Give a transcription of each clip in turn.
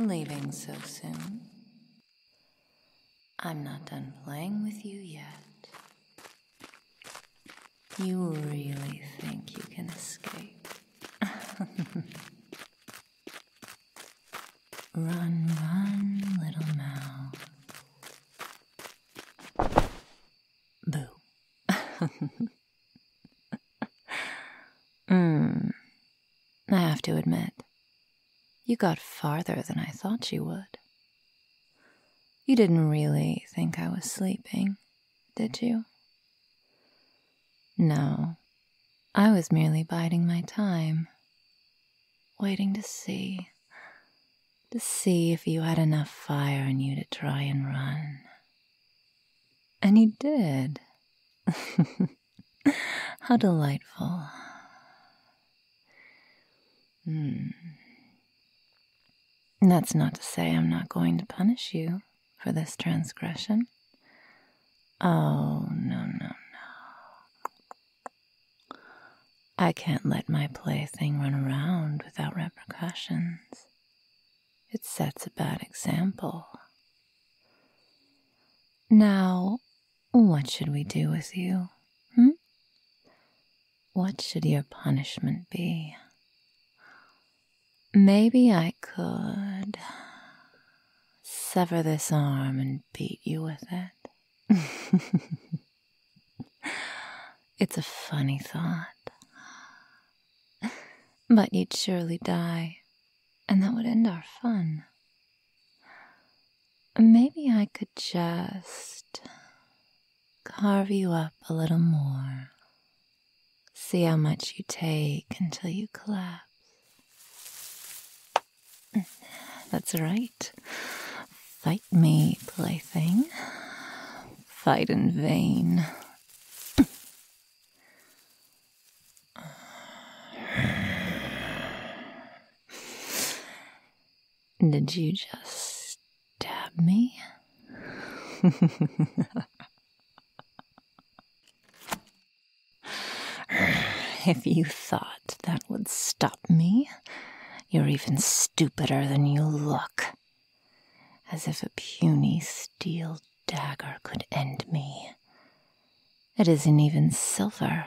Leaving so soon? I'm not done playing with you yet. You really think you can escape? run, run, little mouse. Boo. mm, I have to admit, you got farther than I thought you would. You didn't really think I was sleeping, did you? No, I was merely biding my time, waiting to see to see if you had enough fire in you to try and run. And you did. How delightful. Hmm. That's not to say I'm not going to punish you for this transgression. Oh, no, no, no. I can't let my plaything run around without repercussions. It sets a bad example. Now, what should we do with you? Hmm? What should your punishment be? Maybe I could sever this arm and beat you with it. It's a funny thought. But you'd surely die, and that would end our fun. Maybe I could just carve you up a little more. See how much you take until you collapse. That's right. Fight me, plaything. Fight in vain. Did you just stab me? if you thought that would stop me, you're even stupider than you look as if a puny steel dagger could end me. It isn't even silver.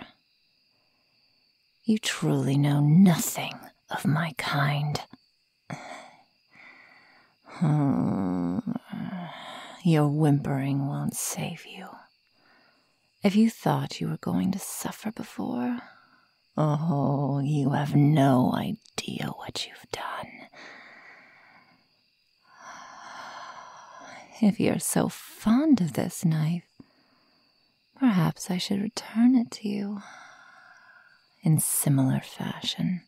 You truly know nothing of my kind. Hmm. Your whimpering won't save you. If you thought you were going to suffer before, Oh, you have no idea what you've done. If you're so fond of this knife, perhaps I should return it to you in similar fashion.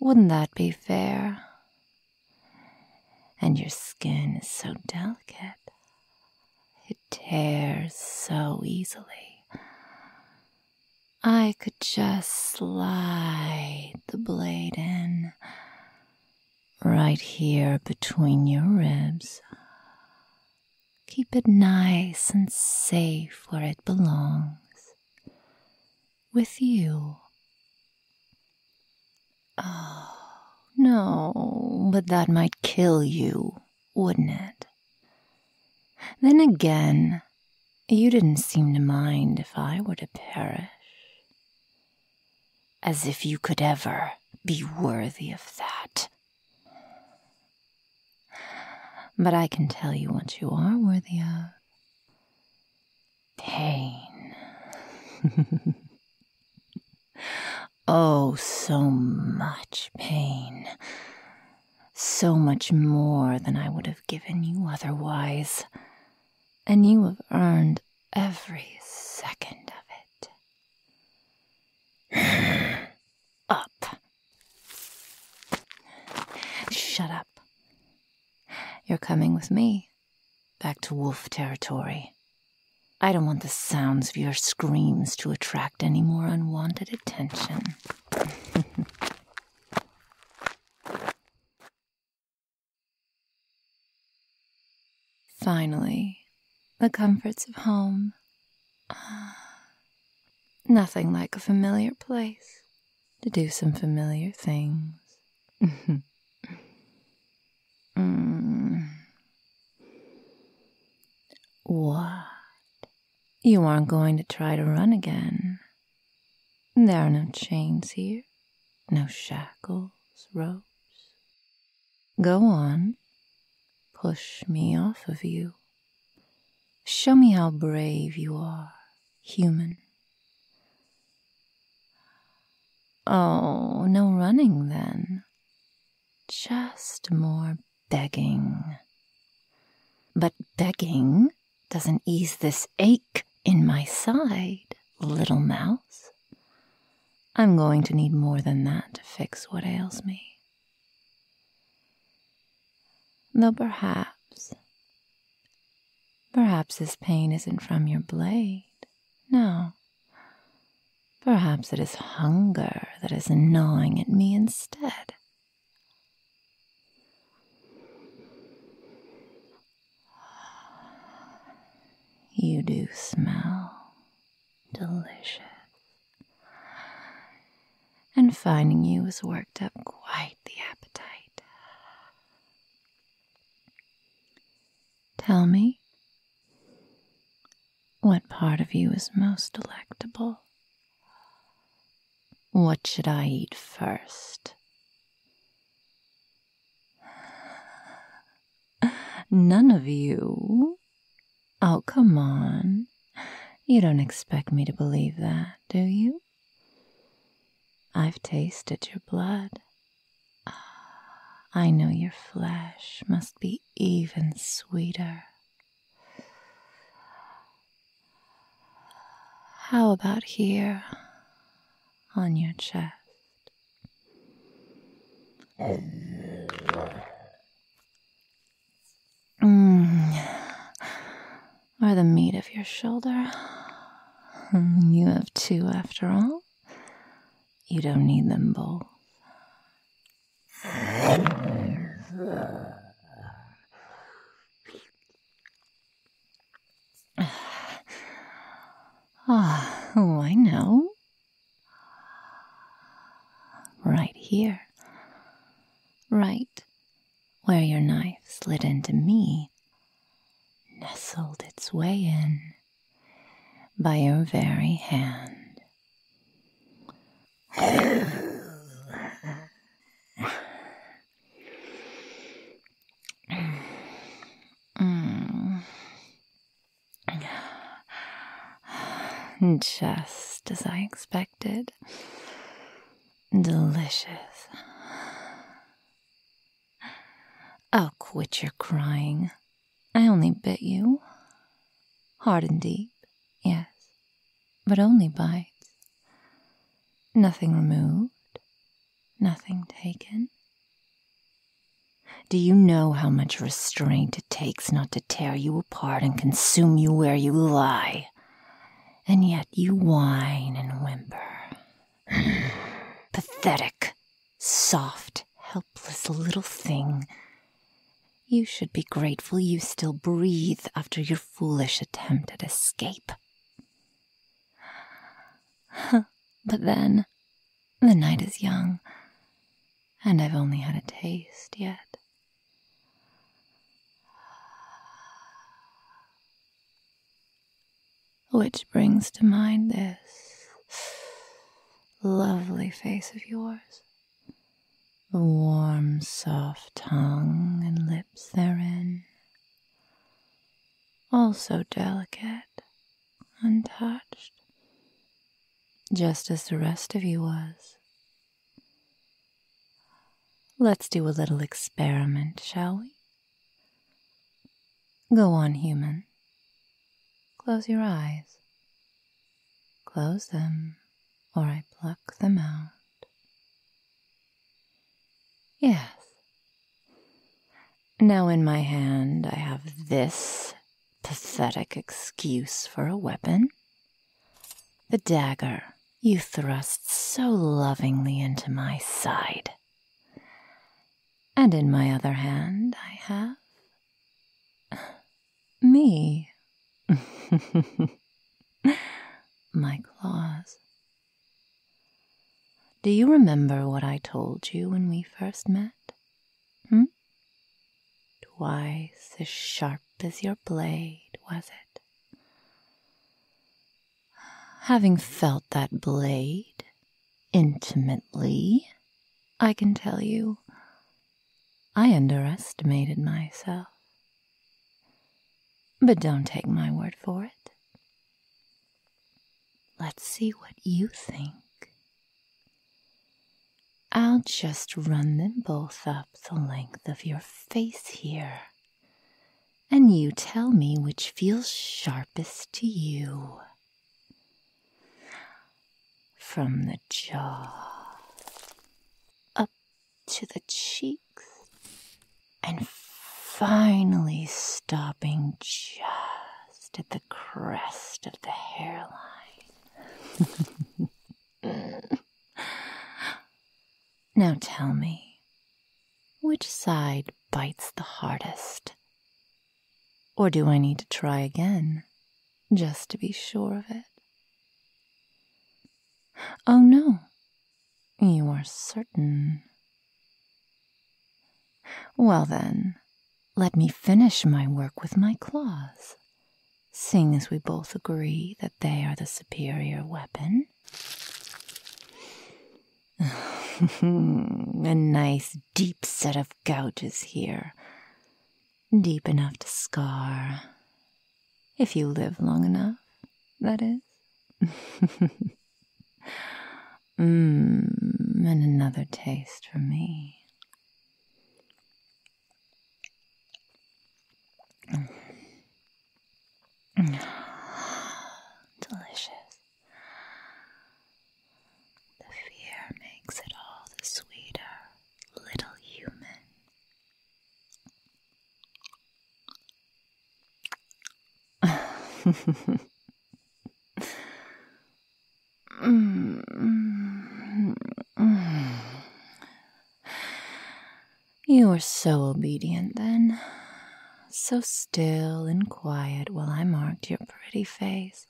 Wouldn't that be fair? And your skin is so delicate. It tears so easily. I could just slide the blade in right here between your ribs. Keep it nice and safe where it belongs with you. Oh, no, but that might kill you wouldn't it? Then again, you didn't seem to mind if I were to perish. As if you could ever be worthy of that. But I can tell you what you are worthy of pain. oh, so much pain so much more than I would have given you otherwise, and you have earned every second of it. up. Shut up. You're coming with me back to wolf territory. I don't want the sounds of your screams to attract any more unwanted attention. Finally, the comforts of home. Ah, nothing like a familiar place to do some familiar things. Hmm. What you aren't going to try to run again. There are no chains here, no shackles, ropes. Go on, push me off of you. Show me how brave you are, human. Oh, no running then. Just more begging. But begging doesn't ease this ache in my side, little mouse. I'm going to need more than that to fix what ails me. Though perhaps, perhaps this pain isn't from your blade. No. Perhaps it is hunger that is gnawing at me instead. You do smell delicious. And finding you has worked up quite the appetite. Tell me, what part of you is most delectable? What should I eat first? None of you. Oh, come on. You don't expect me to believe that, do you? I've tasted your blood. Ah, I know your flesh must be even sweeter. How about here on your chest? Mm. Or the meat of your shoulder. Mm, you have two after all. You don't need them both oh, I know. Right here. Right where your knife slid into me, nestled its way in by your very hand. Just as I expected. Delicious. I'll oh, quit your crying. I only bit you. Hard and deep. Yes, but only bites. Nothing removed, nothing taken. Do you know how much restraint it takes not to tear you apart and consume you where you lie? And yet you whine and whimper. Pathetic, soft, helpless little thing you should be grateful you still breathe after your foolish attempt at escape. but then, the night is young, and I've only had a taste yet. Which brings to mind this lovely face of yours the warm, soft tongue and lips therein, all so delicate, untouched, just as the rest of you was. Let's do a little experiment, shall we? Go on, human. Close your eyes. Close them or I pluck them out. Yes. Now in my hand I have this pathetic excuse for a weapon. The dagger you thrust so lovingly into my side. And in my other hand I have me. My claws. Do you remember what I told you when we first met? Hmm? Twice as sharp as your blade, was it? Having felt that blade intimately, I can tell you I underestimated myself. But don't take my word for it. Let's see what you think. I'll just run them both up the length of your face here, and you tell me which feels sharpest to you from the jaw up to the cheeks and finally stopping just at the crest of the hairline. now tell me, which side bites the hardest? Or do I need to try again? just to be sure of it. Oh no, you are certain. Well then, let me finish my work with my claws, seeing as we both agree that they are the superior weapon. A nice deep set of gouges here deep enough to scar. If you live long enough, that is. Mmm, and another taste for me. Delicious. The fear makes it all the sweeter, little human. you are so obedient then, so still and quiet while I marked your pretty face.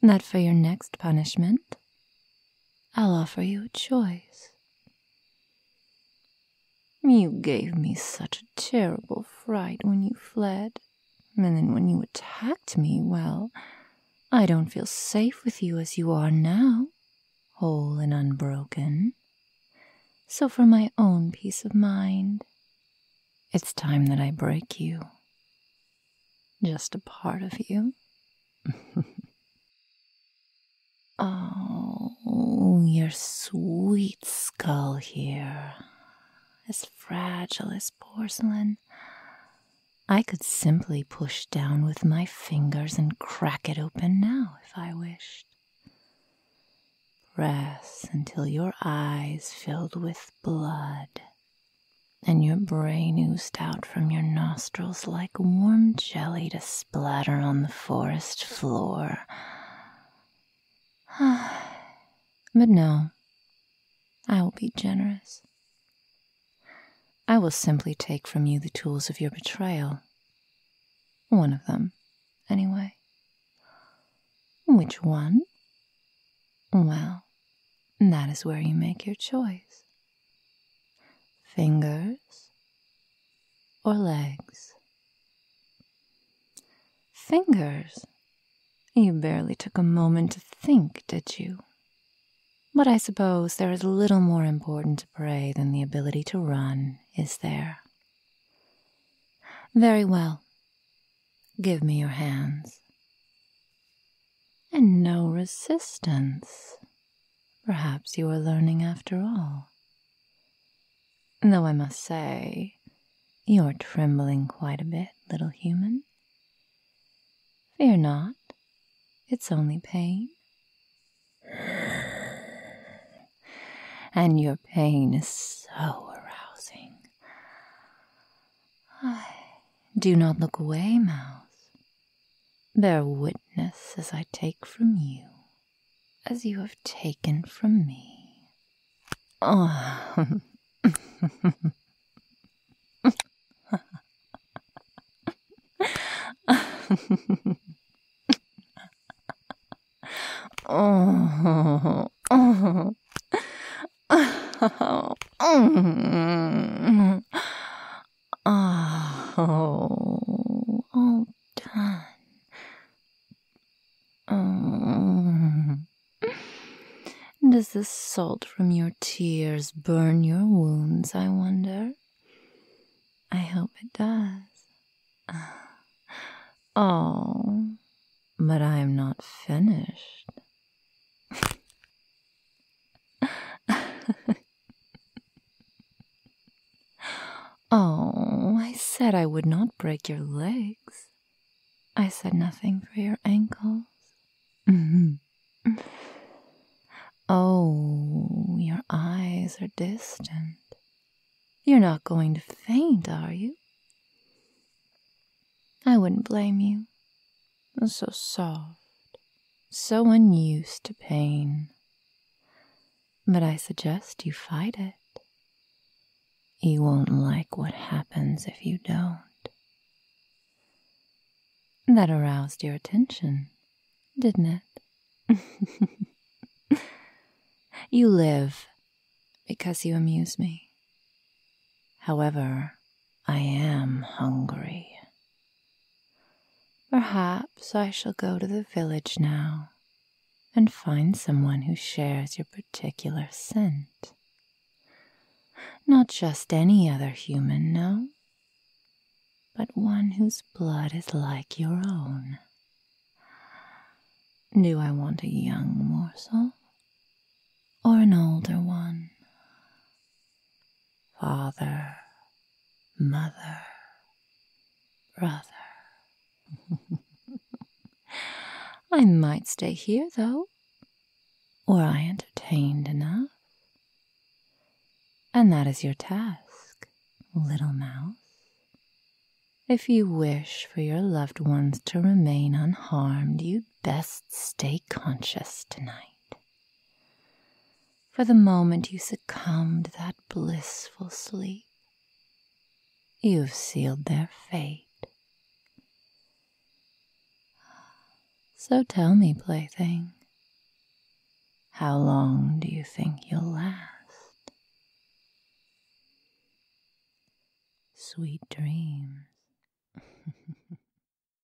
Not for your next punishment, I'll offer you a choice. You gave me such a terrible fright when you fled, and then when you attacked me, well, I don't feel safe with you as you are now, whole and unbroken. So, for my own peace of mind, it's time that I break you. Just a part of you. oh, your sweet skull here. As fragile as porcelain. I could simply push down with my fingers and crack it open now if I wished. Press until your eyes filled with blood and your brain oozed out from your nostrils like warm jelly to splatter on the forest floor. but no, I will be generous. I will simply take from you the tools of your betrayal. One of them, anyway. Which one? Well, that is where you make your choice fingers, or legs? Fingers. You barely took a moment to think, did you? But I suppose there is little more important to prey than the ability to run, is there? Very well. Give me your hands and no resistance. Perhaps you are learning after all. Though I must say, you're trembling quite a bit, little human. Fear not, it's only pain. And your pain is so arousing. I do not look away, Mouse. Bear witness as I take from you, as you have taken from me. Oh. Oh, all oh, done. Oh. Does the salt from your tears burn your wounds, I wonder? I hope it does. Oh, but I am not finished. oh, I said I would not break your legs. I said nothing for your ankles. oh, your eyes are distant. You're not going to faint, are you? I wouldn't blame you and so soft, so unused to pain. But I suggest you fight it. You won't like what happens if you don't. That aroused your attention, didn't it? you live because you amuse me. However, I am hungry. Perhaps I shall go to the village now and find someone who shares your particular scent. Not just any other human, no, but one whose blood is like your own. Do I want a young morsel or an older one? father, mother, brother. I might stay here, though. Were I entertained enough? And that is your task, little mouse. If you wish for your loved ones to remain unharmed, you'd best stay conscious tonight. For the moment you succumbed to that blissful sleep, you've sealed their fate. So tell me, plaything, how long do you think you'll last? Sweet dreams.